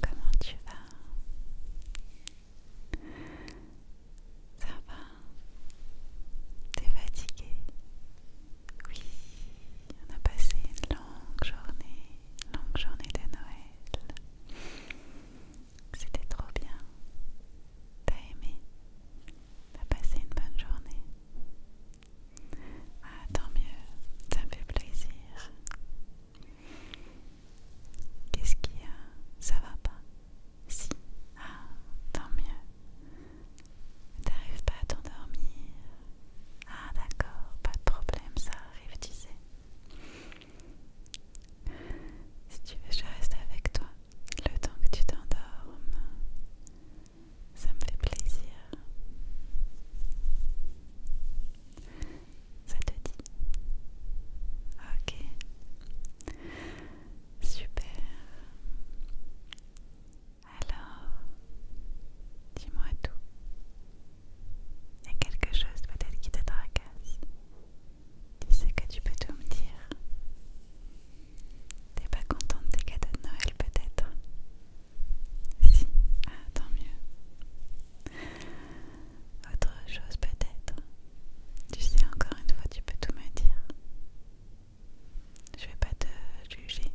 Comment tu vas Ça va T'es fatigué Oui, on a passé une longue journée, longue journée de Noël. C'était trop bien. T'as aimé T'as passé une bonne journée ah, tant mieux, ça fait plaisir. Qu'est-ce qu'il y a Ça va pas Si. Ah, tant mieux. T'arrives pas à t'endormir Ah, d'accord, pas de problème, ça arrive, tu sais. Si tu veux, je reste avec toi le temps que tu t'endormes. Ça me fait plaisir. Ça te dit Ok. Super. Alors, dis-moi tout. Il y a quelque chose peut-être qui te tracasse. Tu sais que tu peux tout me dire. T'es pas contente des cadeaux de Noël peut-être Si, ah tant mieux. Autre chose peut-être Tu sais encore une fois tu peux tout me dire. Je vais pas te juger.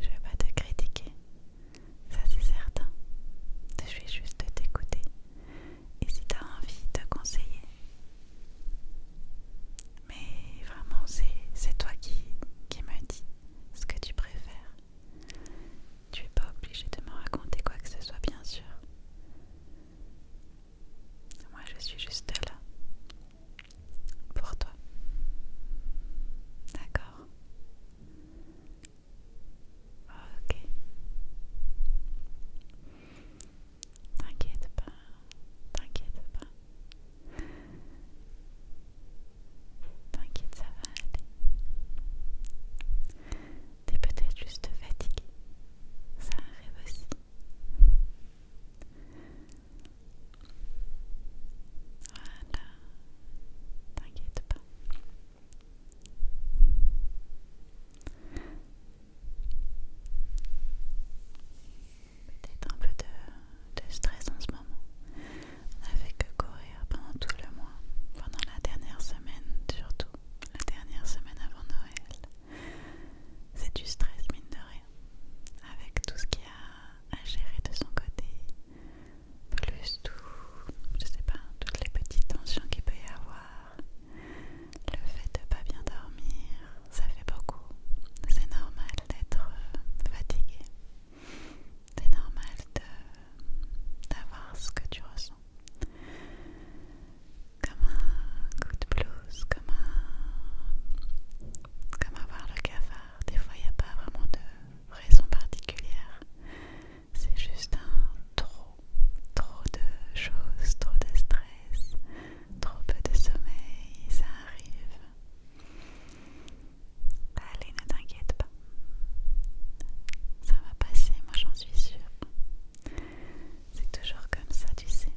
Je vais pas te critiquer. Ça c'est certain. Je vais juste t'écouter. Et si t'as envie de conseiller, mais vraiment, c'est toi qui, qui me dis ce que tu préfères. Tu n'es pas obligé de me raconter quoi que ce soit, bien sûr. Moi, je suis juste là. Pour toi. D'accord. Ok. T'inquiète pas, t'inquiète pas. T'inquiète, ça va aller. T'es peut-être juste fatigué. Ça arrive aussi. Voilà, t'inquiète pas peut-être un peu de, stress en ce moment. On fait que courir pendant tout le mois, pendant la dernière semaine surtout, la dernière semaine avant Noël. C'est du stress mine de rien, avec tout ce qu'il y a à gérer de son côté, plus tout, je sais pas, toutes les petites tensions qu'il peut y avoir le fait de pas bien dormir, ça fait beaucoup. C'est normal d'être euh, fatigué. C'est normal d'avoir ce que tu ressens. Comme un coup de blues, comme un... Comme avoir le cafard. Des fois, il n'y a pas vraiment de raison particulière. C'est juste un trop, trop de choses, trop de stress, Trop peu de sommeil, ça arrive. Allez, ne t'inquiète pas. Ça va passer, moi j'en suis sûre. C'est toujours comme ça, tu sais.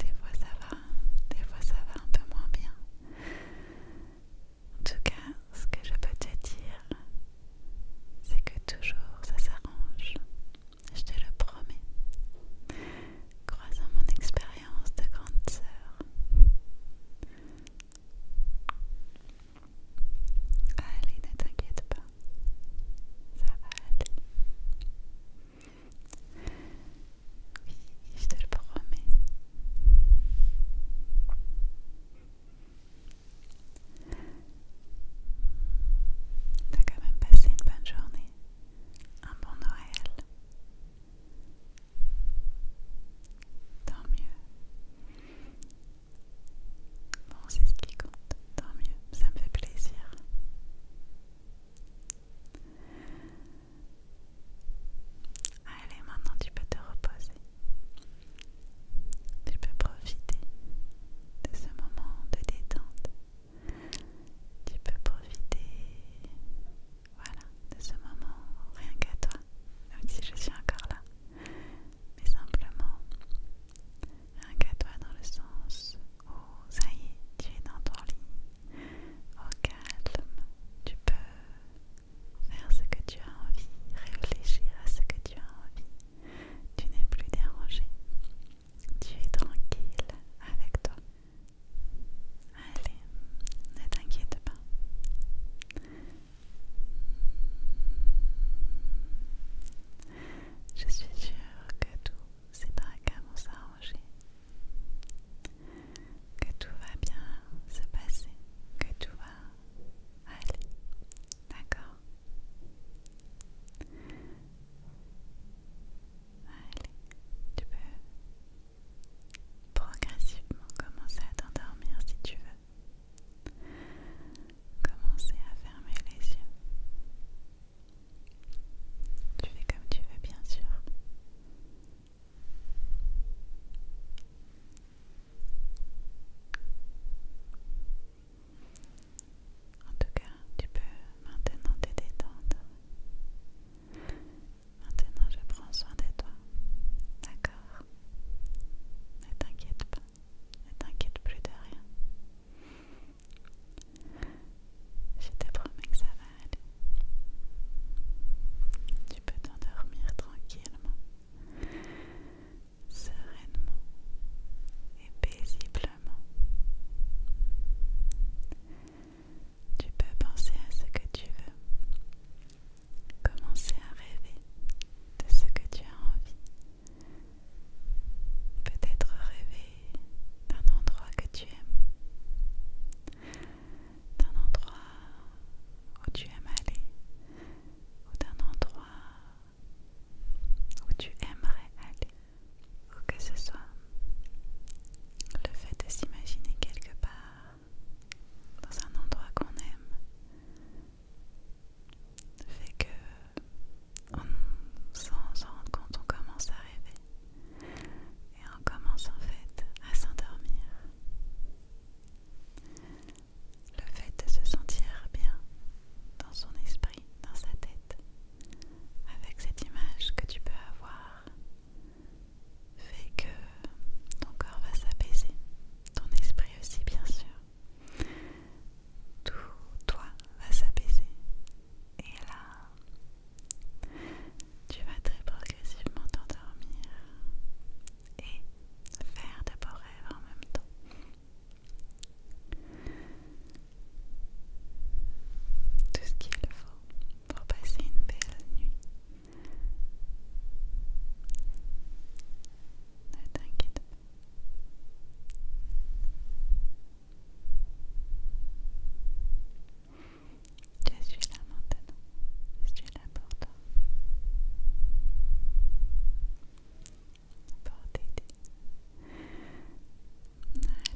Des fois ça va, des fois ça va un peu moins bien. En tout cas, ce que je peux te dire, c'est que toujours ça s'arrange je te le promets. Croisant mon expérience de grande sœur. Allez, ne t'inquiète pas. Ça va aller. Oui, je te le promets. T'as quand même passé une bonne journée, un bon Noël. Tant mieux. Bon, c'est ce qui compte. Tant mieux, ça me fait plaisir. Allez, maintenant tu peux te reposer. Tu peux profiter de ce moment de détente tu peux profiter voilà, de ce moment rien qu'à toi, même si je suis encore là, mais simplement rien qu'à toi dans le sens où ça y est, tu es dans ton lit, au calme, tu peux faire ce que tu as envie, réfléchir à ce que tu as envie, tu n'es plus dérangé tu es tranquille avec toi. Allez, ne t'inquiète pas. Je suis sûre que tout s'est très vont s'arranger, que tout va bien se passer, que tout va aller. D'accord Allez, tu peux progressivement commencer à t'endormir si tu veux. Commencer à fermer les yeux. Tu fais comme tu veux, bien sûr. En tout cas, tu peux maintenant te détendre. Maintenant, je prends soin de toi. D'accord Ne t'inquiète pas. Ne t'inquiète plus de rien. Je te promets que ça va aller. Tu peux t'endormir tranquillement sereinement et paisiblement. Tu peux penser à ce que tu veux, commencer à rêver de ce que tu as envie, peut-être rêver d'un endroit que tu aimes, d'un endroit où tu aimes aller, ou d'un endroit où tu aimerais aller, ou que ce soit le fait de s'imaginer quelque part dans un endroit qu'on aime, fait que sans s'en rendre compte, on commence à rêver et on commence en fait à s'endormir le fait de se sentir bien dans son esprit, dans sa tête, avec cette image que tu peux avoir, fait que ton corps va s'apaiser, ton esprit aussi bien sûr. Tout toi va s'apaiser. Et là, tu vas très progressivement t'endormir et faire de beaux rêves en même temps. Tout ce qu'il faut pour passer une belle nuit. Ne t'inquiète pas. Je suis là maintenant. Je suis là pour toi.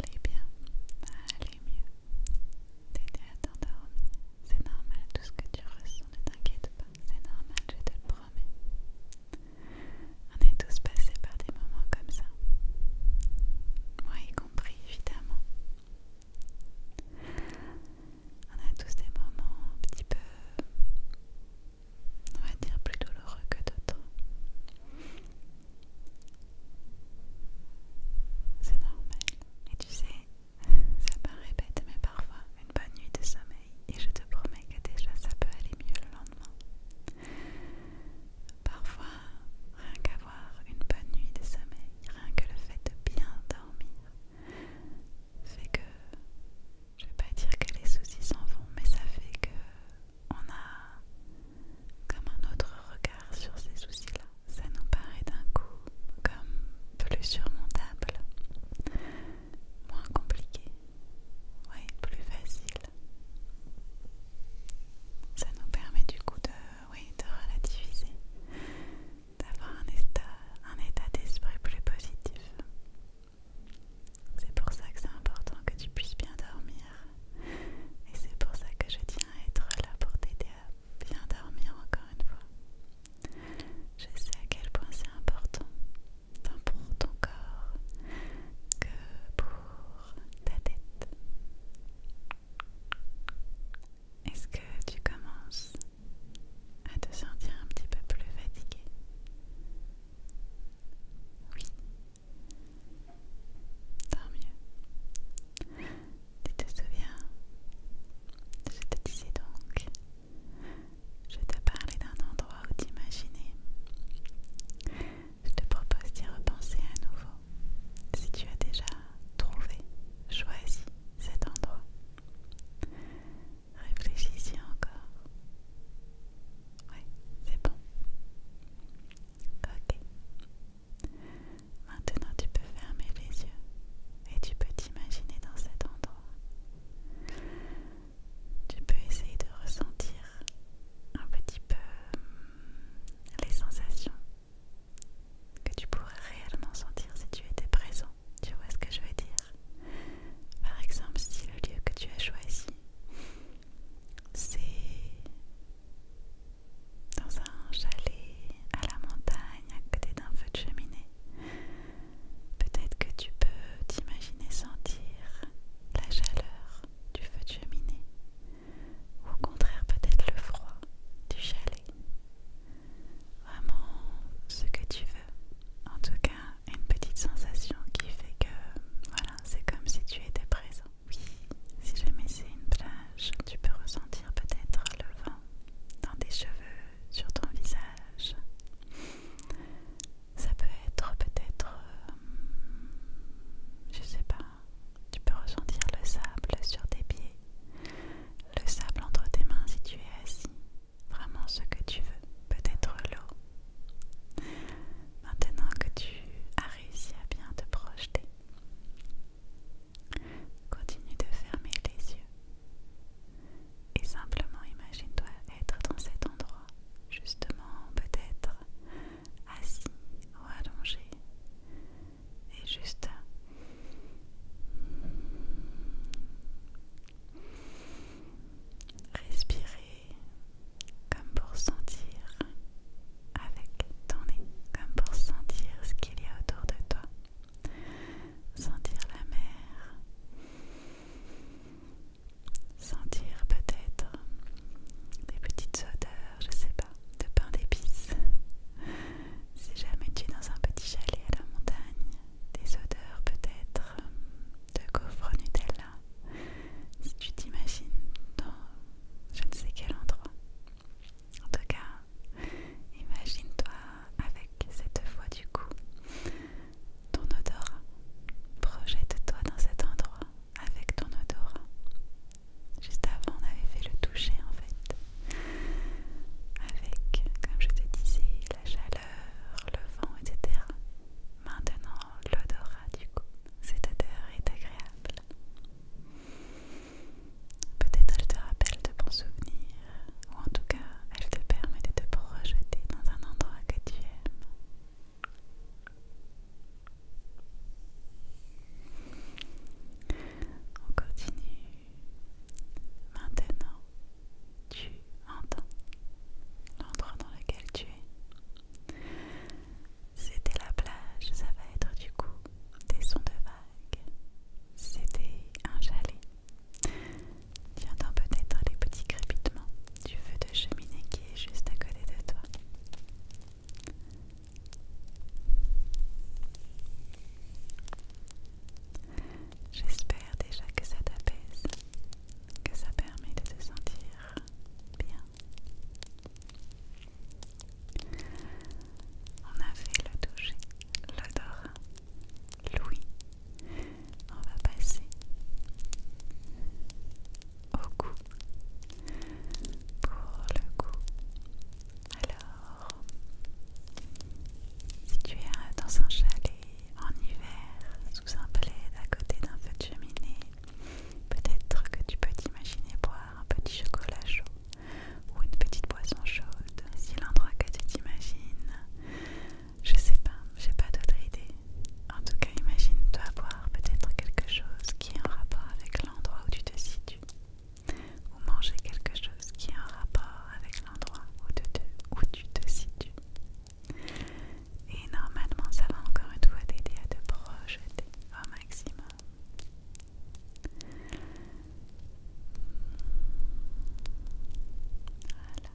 Allez bien, allez mieux. T'aider à t'endormir. C'est normal tout ce que tu ressens, ne t'inquiète pas. C'est normal, je te le promets. On est tous passés par des moments comme ça. Moi y compris, évidemment. On a tous des moments un petit peu on va dire plus douloureux que d'autres. C'est normal. Et tu sais, ça paraît répète mais parfois une bonne nuit de sommeil, et je te promets que déjà ça peut aller mieux le lendemain. Parfois, rien qu'avoir une bonne nuit de sommeil, rien que le fait de bien dormir, fait que je vais pas dire que les soucis s'en vont, mais ça fait que on a comme un autre regard sur ces soucis-là. Ça nous paraît d'un coup comme plus surmontable, moins compliqué, oui, plus facile. Ça nous permet du coup de, oui, de relativiser, d'avoir un état, un état d'esprit plus positif. C'est pour ça que c'est important que tu puisses bien dormir. Et c'est pour ça que je tiens à être là pour t'aider à bien dormir encore une fois. Je sais à quel point c'est important, tant pour ton corps que pour ta tête. Est-ce que tu commences à te sentir un petit peu plus fatigué. Oui. Tant mieux. Tu te souviens Je te disais donc, je te parlais d'un endroit où t'imaginais Je te propose d'y repenser à nouveau. Si tu as déjà trouvé, choisi cet endroit, Réfléchissez encore. Oui, c'est bon. Ok. Maintenant, tu peux fermer les yeux et tu peux t'imaginer dans cet endroit. Tu peux essayer de ressentir un petit peu hum, les sensations que tu pourrais réellement sentir si tu étais présent tu vois ce que je veux dire Par exemple, si le lieu que tu as choisi, c'est dans un chalet à la montagne à côté d'un feu de cheminée, peut-être que tu peux t'imaginer sentir la chaleur du feu de cheminée, ou au contraire peut-être le froid du chalet vraiment ce que tu veux. En tout cas, une petite sensation qui fait que voilà, c'est comme si tu étais présent. Oui, si jamais c'est une plage, tu peux ressentir peut-être le vent dans tes cheveux, sur ton visage. Ça peut être peut-être, euh, je sais pas, tu peux ressentir le sable sur tes pieds le sable entre tes mains si tu es assis, vraiment ce que tu veux, peut-être l'eau. Maintenant que tu as réussi à bien te projeter, continue de fermer les yeux et simplement imagine-toi être dans cet endroit, justement peut-être assis ou allongé et juste Respirer comme pour sentir avec ton nez, comme pour sentir ce qu'il y a autour de toi. Sentir la mer. Sentir peut-être des petites odeurs, je sais pas, de pain d'épices. Si jamais tu es dans un petit chalet à la montagne, des odeurs peut-être euh, de gaufres Nutella, si tu t'imagines dans je ne sais quel endroit. En tout cas, imagine-toi avec cette voix du coup ton odorat. Projette-toi dans cet endroit avec ton odorat. Juste avant, on avait fait le toucher en fait avec, comme je te disais, la chaleur, le vent, etc. Maintenant, l'odorat du coup, cette odeur est agréable. Peut-être elle te rappelle de bons souvenirs, ou en tout cas, elle te permet de te projeter dans un endroit que tu aimes. On continue Maintenant, tu entends l'endroit dans lequel tu es. C'était la plage, ça va être du coup des sons de vagues. C'était un chalet. Tu entends peut-être les petits crépitements du feu de cheminée qui est juste à côté de toi. J'espère déjà que ça t'apaise, que ça permet de te sentir bien. On a fait le toucher, l'odorat, l'ouïe. On va passer au cou. Pour le goût alors si tu es euh, dans un chalet en hiver sous un plaid à côté d'un feu de cheminée peut-être que tu peux t'imaginer boire un petit chocolat chaud ou une petite boisson chaude si l'endroit que tu t'imagines je sais pas j'ai pas d'autre idée en tout cas imagine-toi boire peut-être quelque chose qui est en rapport avec l'endroit où tu te situes ou manger quelque chose qui a un rapport avec l'endroit où, où tu te situes. Et normalement, ça va encore une fois t'aider à te projeter au maximum. Voilà.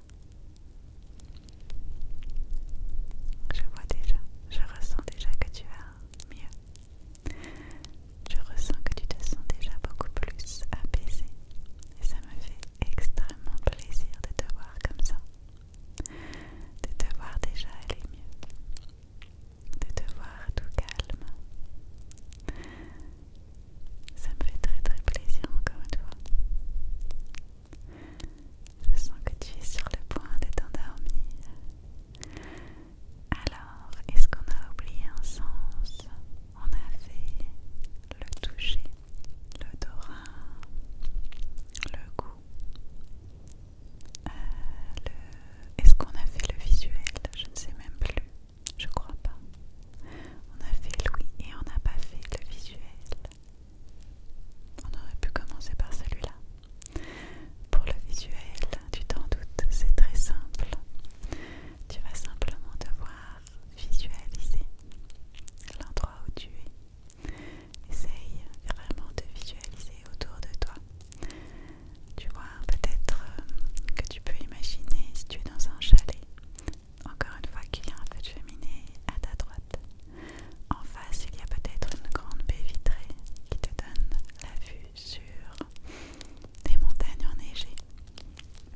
Je vois déjà, je ressens déjà que tu vas mieux. Je ressens que tu te sens déjà beaucoup plus apaisé et ça me fait extrêmement plaisir de te voir comme ça, de te voir déjà aller mieux, de te voir tout calme. Ça me fait très très plaisir encore toi Je sens que tu es sur le point de t'endormir. Alors, est-ce qu'on a oublié un sens On a fait le toucher, l'odorat, le goût. Euh, est-ce qu'on a fait le visuel Je ne sais même plus. Je crois pas. On a fait le oui et on n'a pas fait le visuel. On aurait pu commencer par celui-là. Pour le visuel, tu t'en doutes, c'est très simple. Tu vas simplement devoir visualiser l'endroit où tu es. Essaye vraiment de visualiser autour de toi. Tu vois, peut-être euh, que tu peux imaginer si tu es dans un chalet. Encore une fois qu'il y a un peu de cheminée à ta droite. En face, il y a peut-être une grande baie vitrée qui te donne la vue sur des montagnes enneigées.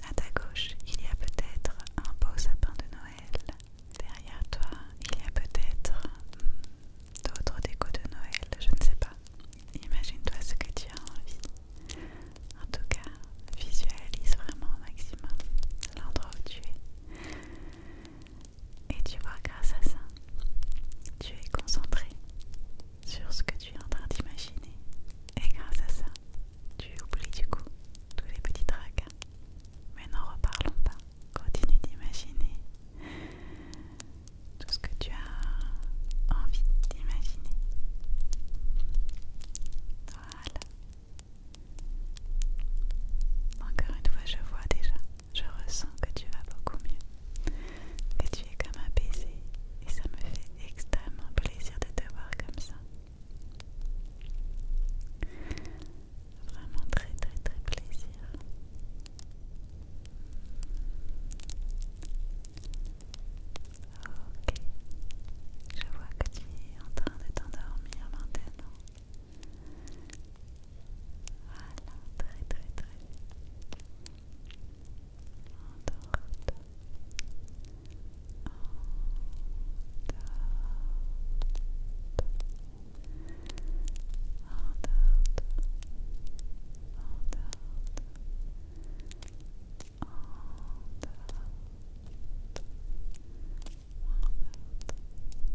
À ta gauche, il y a peut-être un beau sapin de Noël. Derrière toi, il y a peut-être hmm, d'autres décos de Noël, je ne sais pas. Imagine-toi ce que tu as envie. En tout cas, visualise vraiment au maximum l'endroit où tu es. Et tu vois, grâce à ça, tu es concentré sur ce que tu es en train d'imaginer. Et grâce à ça, tu oublies du coup tous les petits tracas. Mais n'en reparlons pas. Continue d'imaginer tout ce que tu as envie d'imaginer. Voilà. Encore une fois, je vois déjà je ressens que tu vas beaucoup mieux, que tu es comme apaisé et ça me fait extrêmement plaisir de te voir comme ça. Vraiment très très très plaisir. Ok, je vois que tu es en train de t'endormir maintenant. Voilà, très très très. Endorte. Endorte. Endorte. Endorte.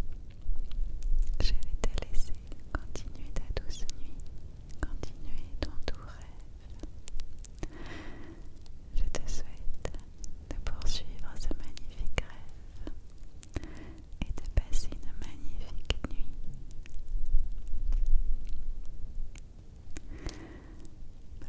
Endorte. Je vais te laisser continuer ta douce nuit, continuer ton doux rêve. Je te souhaite de poursuivre ce magnifique rêve et de passer une magnifique nuit. Bye. Bye. Bye.